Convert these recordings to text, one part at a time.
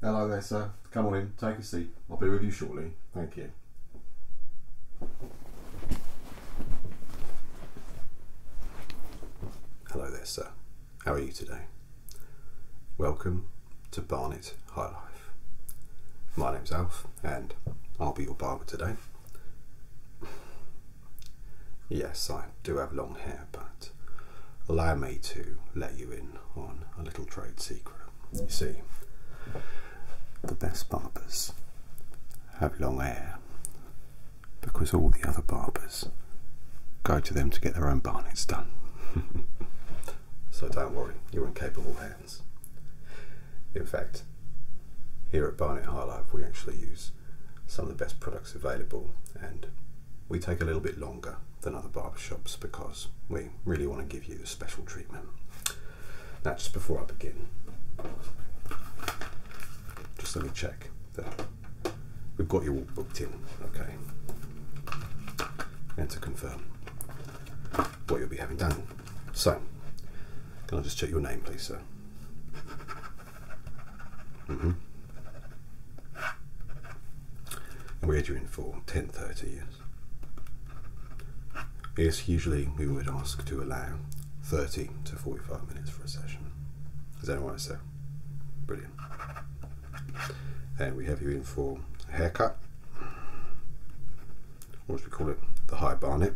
Hello there, sir. Come on in, take a seat. I'll be with you shortly. Thank you. Hello there, sir. How are you today? Welcome to Barnet High Life. My name's Alf, and I'll be your barber today. Yes, I do have long hair, but allow me to let you in on a little trade secret. You see, the best barbers have long hair because all the other barbers go to them to get their own barnets done. so don't worry, you're in capable hands. In fact, here at Barnet High Life, we actually use some of the best products available and we take a little bit longer than other barbershops because we really want to give you special treatment. Now, just before I begin, just let me check that we've got you all booked in, okay? And to confirm what you'll be having done. So, can I just check your name, please, sir? -hmm. And we are you in for 10.30, yes. Yes, usually we would ask to allow 30 to 45 minutes for a session. Is that alright, sir? Brilliant. And we have you in for a haircut. What should we call it? The high barnet.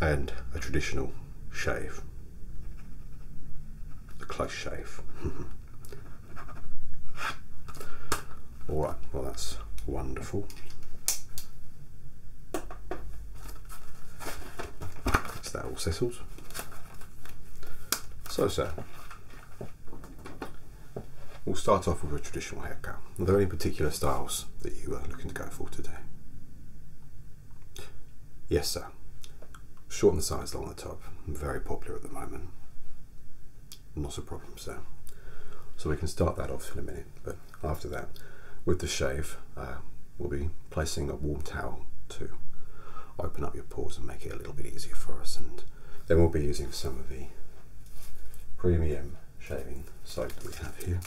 And a traditional shave. A close shave. Alright, well that's wonderful. Is that all settled. So, sir, we'll start off with a traditional haircut. Are there any particular styles that you are looking to go for today? Yes, sir. Short on the sides, long the top. Very popular at the moment. Not a problem, sir. So we can start that off in a minute, but after that, with the shave, uh, we'll be placing a warm towel to open up your pores and make it a little bit easier for us. And then we'll be using some of the premium shaving soap that we have here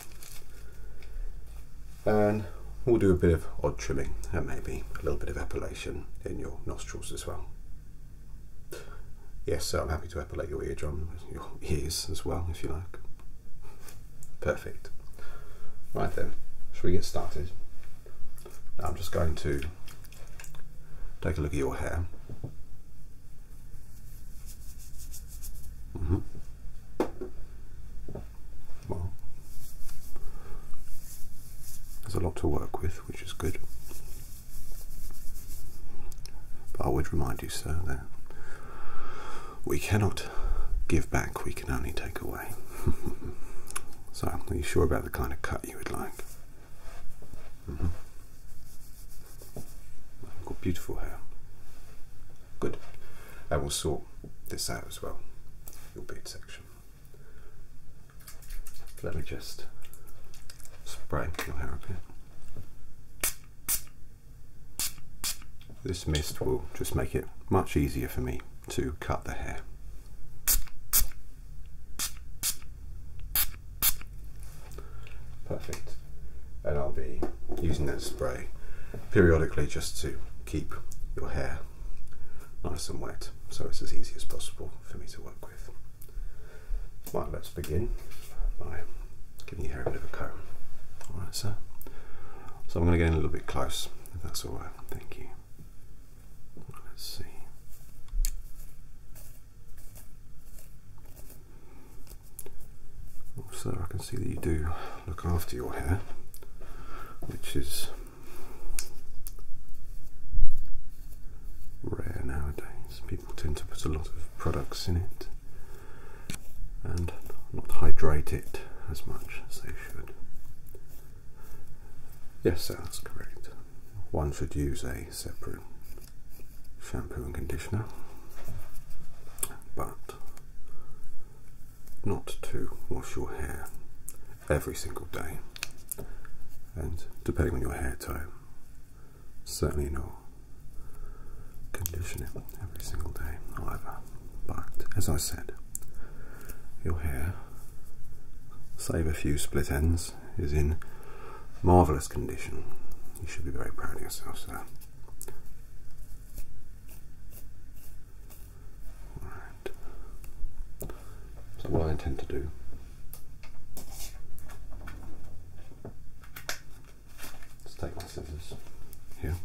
and we'll do a bit of odd trimming and maybe a little bit of epilation in your nostrils as well. Yes, I'm happy to epilate your eardrum, your ears as well, if you like. Perfect. Right then, shall we get started? I'm just going to take a look at your hair. Mm -hmm well, there's a lot to work with, which is good. But I would remind you, sir, that we cannot give back, we can only take away. so, are you sure about the kind of cut you would like? Mm-hmm. got beautiful hair. Good. I will sort this out as well, your beard section. Let me just spray your hair a bit. This mist will just make it much easier for me to cut the hair. Perfect. And I'll be using that spray periodically just to keep your hair nice and wet so it's as easy as possible for me to work with. Right, let's begin by giving your hair a bit of a comb. Alright, so, so I'm going to get in a little bit close, that's alright. Thank you. Let's see. Also, oh, I can see that you do look after your hair, which is rare nowadays. People tend to put a lot of products in it and not hydrate it as much as they should. Yes, that's correct. One should use a separate shampoo and conditioner, but not to wash your hair every single day. And depending on your hair type, certainly not condition every single day either. But as I said, your hair, save a few split ends, is in marvellous condition. You should be very proud of yourself, sir. So what I intend to do is take my scissors here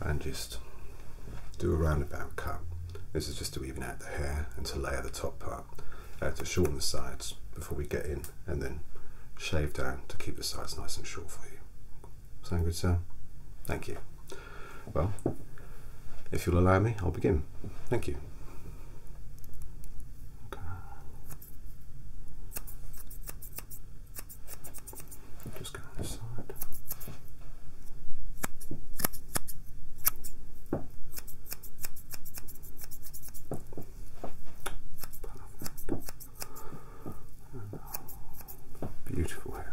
and just do a roundabout cut. This is just to even out the hair and to layer the top part, uh, to shorten the sides before we get in and then shave down to keep the sides nice and short for you. Sound good, sir? Thank you. Well, if you'll allow me, I'll begin. Thank you. Okay. Just go this side. Uh, beautiful hair,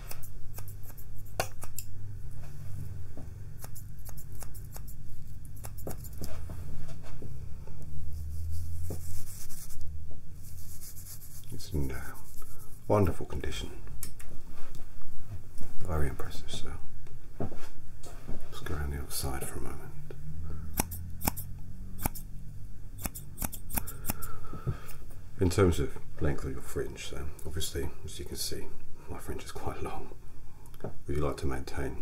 It's in uh, wonderful condition. Very impressive, so let's go around the other side for a moment. In terms of length of your fringe, so obviously, as you can see, my fringe is quite long. Would you like to maintain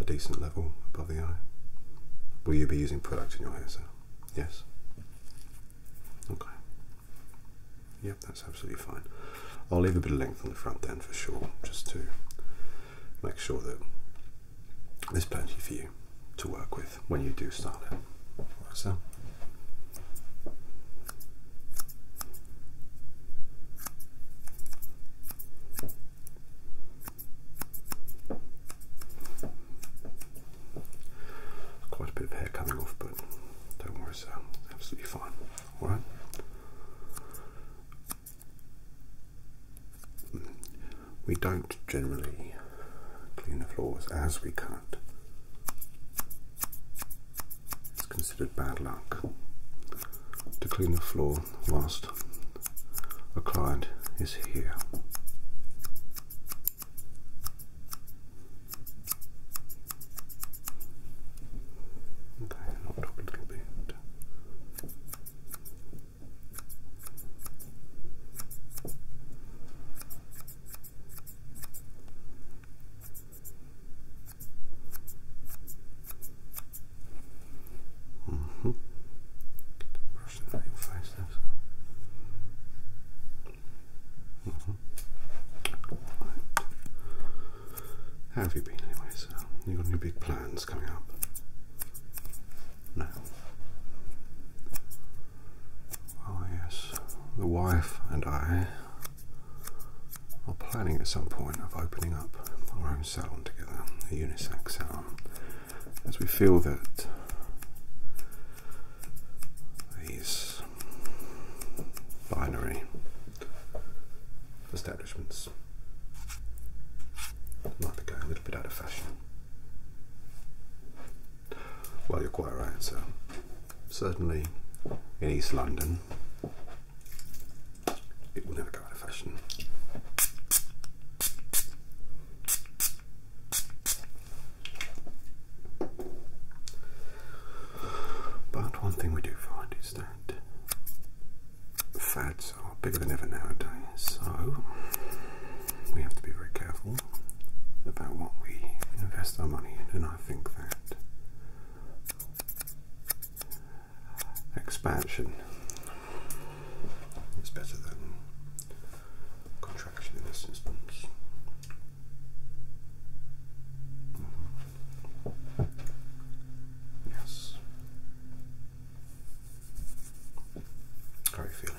a decent level above the eye? Will you be using product in your hair, sir? Yes? Okay. Yep, that's absolutely fine. I'll leave a bit of length on the front then for sure, just to make sure that there's plenty for you to work with when you do start it. Like so. Quite a bit of hair coming off, but don't worry, so absolutely fine. Alright? We don't generally clean the floors as we cut. It's considered bad luck to clean the floor whilst a client is here. Okay, up a little bit. Mm -hmm. Brush the name face this. -hmm. How have you been anyway, sir? You got any big plans coming up? No. Oh, yes, the wife and I are planning at some point of opening up our own salon together, a unisex salon, as we feel that these binary establishments might be going a little bit out of fashion. Well, you're quite right, sir. Certainly in East London, it will never go out of fashion. But one thing we do find is that fads are bigger than ever nowadays, so we have to be very careful careful about what we invest our money in, and I think that expansion is better than contraction in this instance. Mm-hmm. Yes. How are you feeling?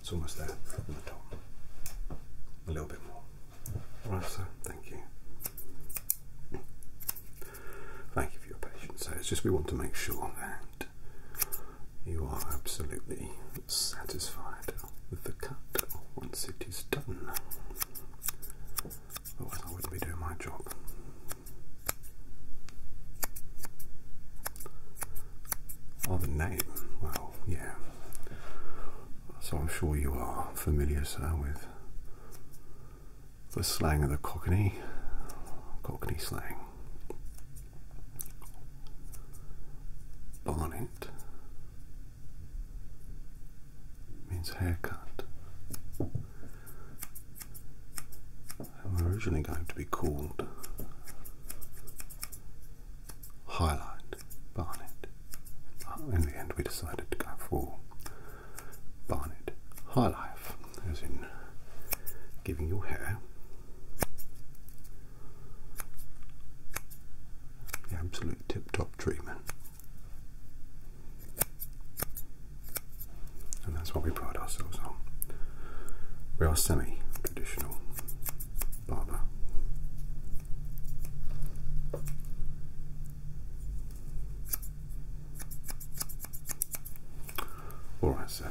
It's almost there A little bit more. All right, sir, thank you. Thank you for your patience. So it's just we want to make sure that you are absolutely satisfied with the cut once it is done. Otherwise, I wouldn't be doing my job. Oh, the name. Well, yeah. So I'm sure you are familiar, sir, with the slang of the Cockney, Cockney slang. Barnet means haircut. They were originally going to be called Highlight Barnet, but in the end we decided to go for Barnet High Life, as in giving your hair the absolute tip-top treatment. And that's what we pride ourselves on. We are semi-traditional barber. Alright, sir.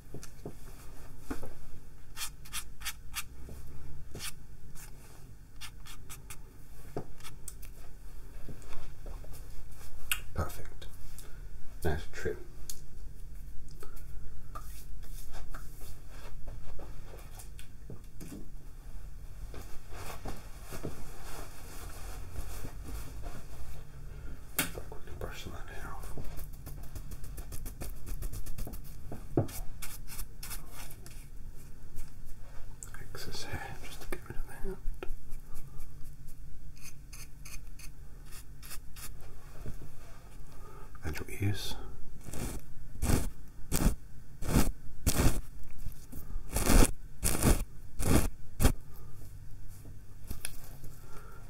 Perfect. That's true. Brush that hair off excess hair just to get rid of that. And your ears.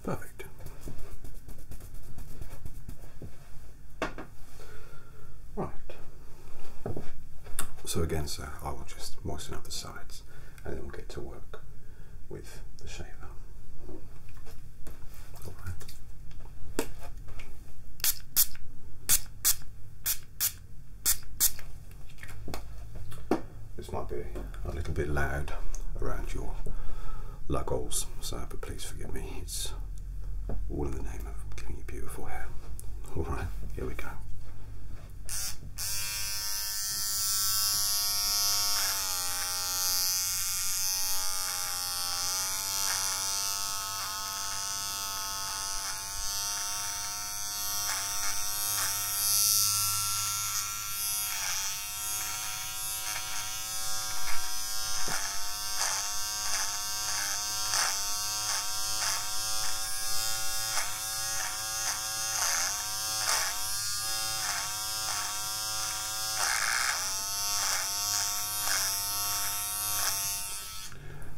Perfect. Right. So again, sir, I will just moisten up the sides and then we'll get to work with the shaver. All right. This might be a little bit loud around your lug so but please forgive me. It's all in the name of giving you beautiful hair. All right, here we go.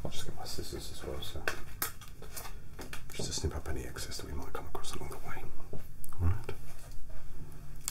I'll just get my scissors as well, so just to snip up any excess that we might come across along the way. Alright.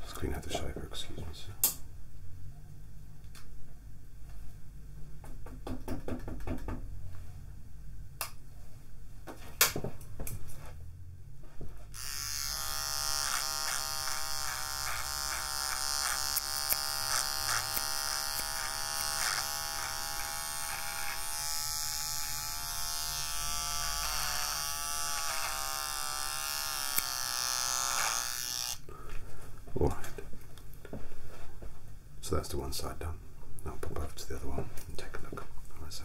Let's clean out the shaver, excuse me, sir. Alright. So that's the one side done. Now I'll pop over to the other one and take a look. Alright, so.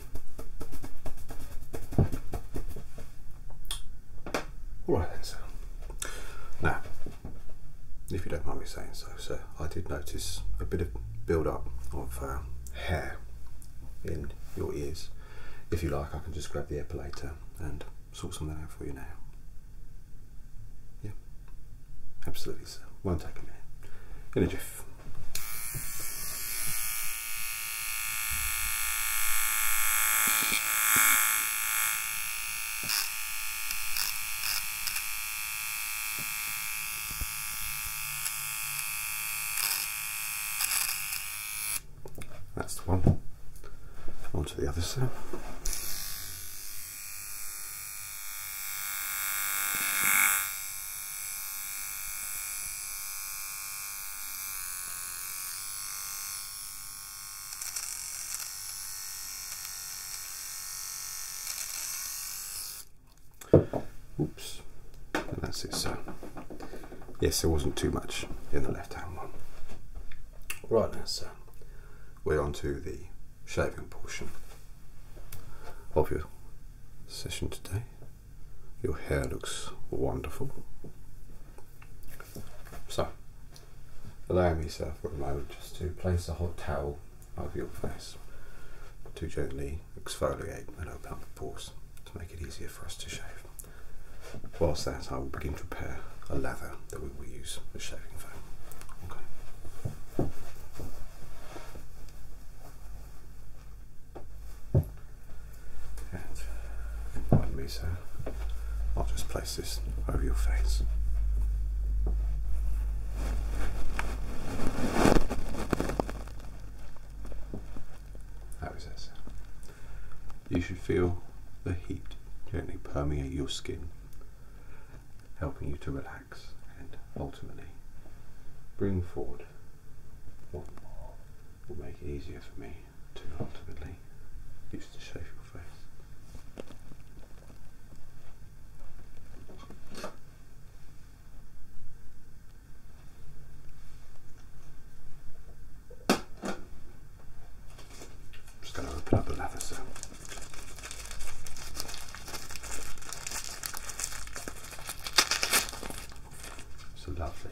All right then, sir. Now, if you don't mind me saying so, sir, I did notice a bit of build-up of uh, hair in your ears. If you like, I can just grab the epilator and sort something out for you now. Yeah, absolutely, sir. will take a minute. In a jiff life. That's the one. Onto the other side. Oops, that's it. So, yes, there wasn't too much in the left hand one. Right now, sir, we're on to the shaving portion of your session today. Your hair looks wonderful. So, allow me, sir, for a moment just to place a hot towel over your face to gently exfoliate and open the pores to make it easier for us to shave. Whilst that, I will begin to prepare a lather that we will use as shaving foam. And pardon me, sir. I'll just place this over your face. How is that, sir? You should feel the heat gently permeate your skin, helping you to relax and ultimately bring forward what will make it easier for me to ultimately use to shave your face. So lovely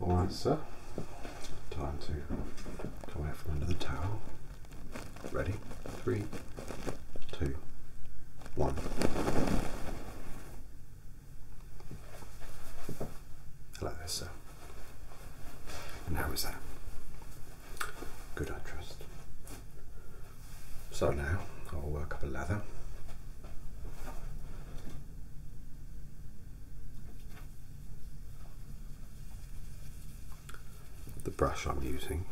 Alright sir, time to come out from under the towel. Ready? Three, two, one. Like this, sir. And how is that? Good, I trust. So now I'll work up a lather. The brush I'm using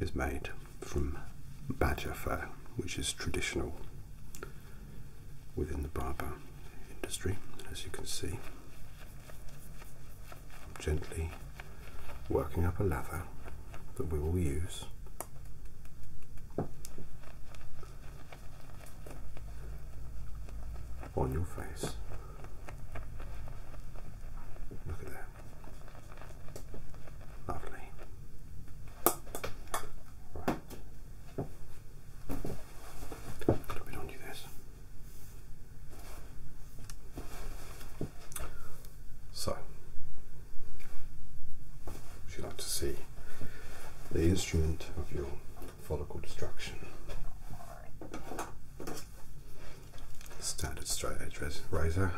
is made from badger fur, which is traditional within the barber industry, as you can see. gently working up a lather that we will use. on your face. Look at that. Lovely. Right. We don't do this. So, would you like to see the instrument of your follicle destruction? standard straight edge razor.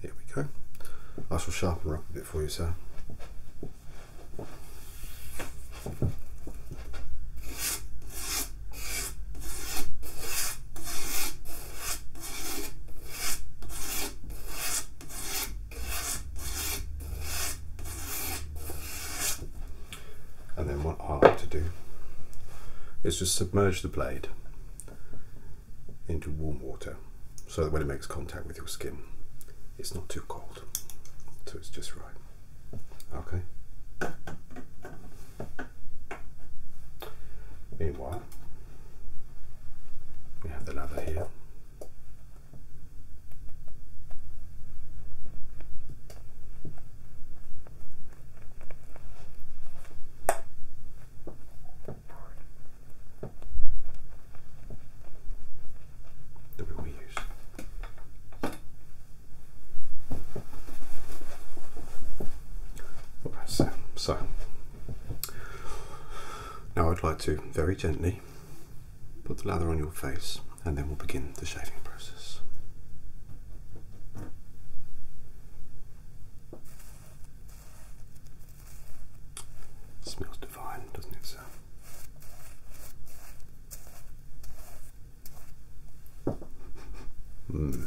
Here we go. I shall sharpen up a bit for you, sir. And then what I have to do is just submerge the blade into warm water so that when it makes contact with your skin, it's not too cold. So it's just right. Okay. Meanwhile, we have the lather here the we use. Um, so now I'd like to very gently put the lather on your face and then we'll begin the shaving process. Smells divine, doesn't it, sir? Mm.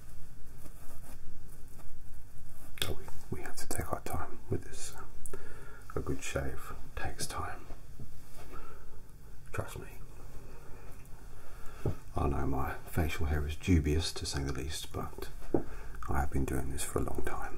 we, we have to take our time with this. Uh, a good shave takes time. Trust me. I know my facial hair is dubious to say the least, but I have been doing this for a long time.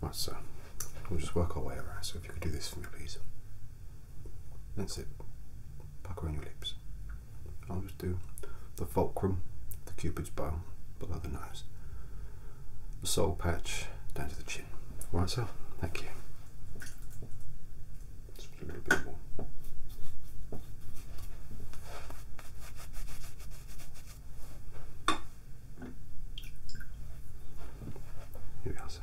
Right, sir. we'll just work our way around. So if you could do this for me, please. That's it. Pucker on your lips. I'll just do the fulcrum, the cupid's bow below the nose, the sole patch down to the chin. Right, so thank you. Here we are, sir.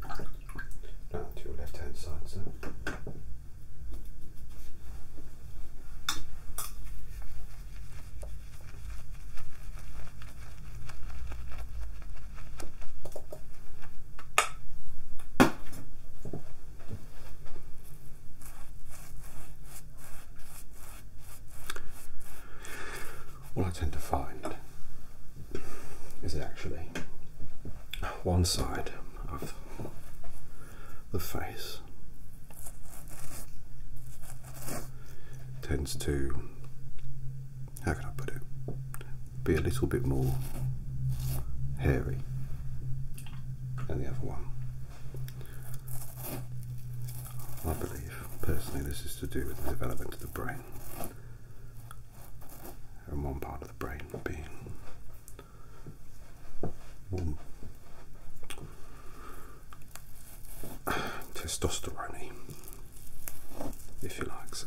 Perfect. Now to your left hand side, sir. What I tend to find is that actually one side of the face tends to, how can I put it, be a little bit more hairy than the other one. I believe, personally, this is to do with the development of the brain. And one part of the brain being testosterone if you like, so.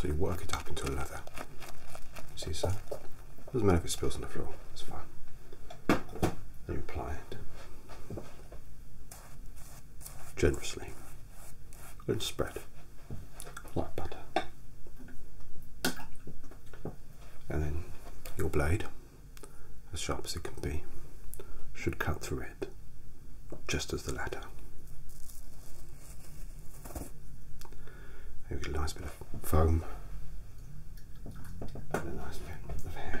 So you work it up into a lather. See, sir. doesn't matter if it spills on the floor, it's fine. Then you apply it generously and spread like butter. And then your blade, as sharp as it can be, should cut through it just as the leather. Maybe get a nice bit of foam and a nice bit of hair.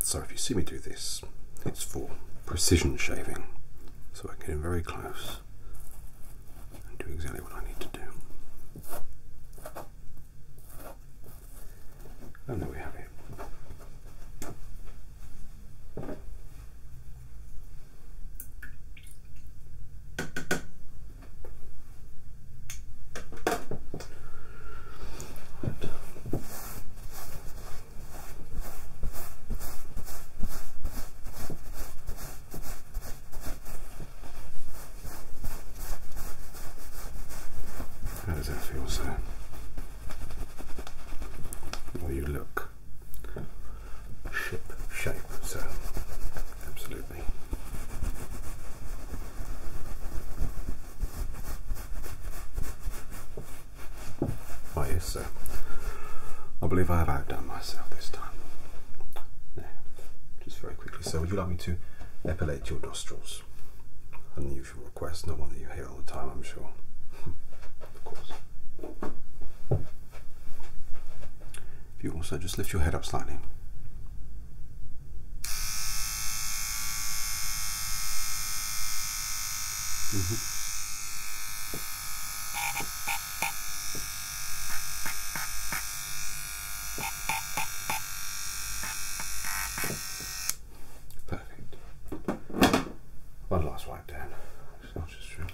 So if you see me do this, it's for precision shaving. So I get in very close and do exactly what I need to do. And there we have it. How does that feel, sir? Well, you look ship shape, sir absolutely. Oh yes, sir. I believe I have outdone myself this time. just very quickly, sir, would you like me to epilate your nostrils? unusual request, No one that you hear all the time, I'm sure. of course. If you also just lift your head up slightly. Mm-hmm. Perfect. One last wipe down. It's not just true.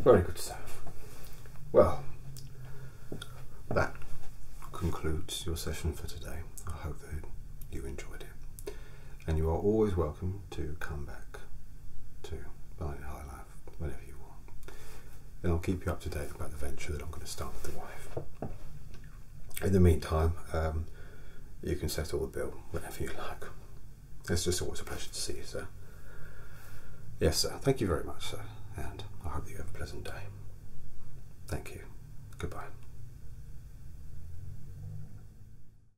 Very good stuff. Well, that concludes your session for today. I hope that you enjoyed it and you are always welcome to come back to Barnet High Life whenever you want. And I'll keep you up to date about the venture that I'm going to start with the wife. In the meantime, um, you can settle the bill whenever you like. It's just always a pleasure to see you, sir. Yes, sir. Thank you very much, sir. And I hope that you have a pleasant day. Thank you. Goodbye.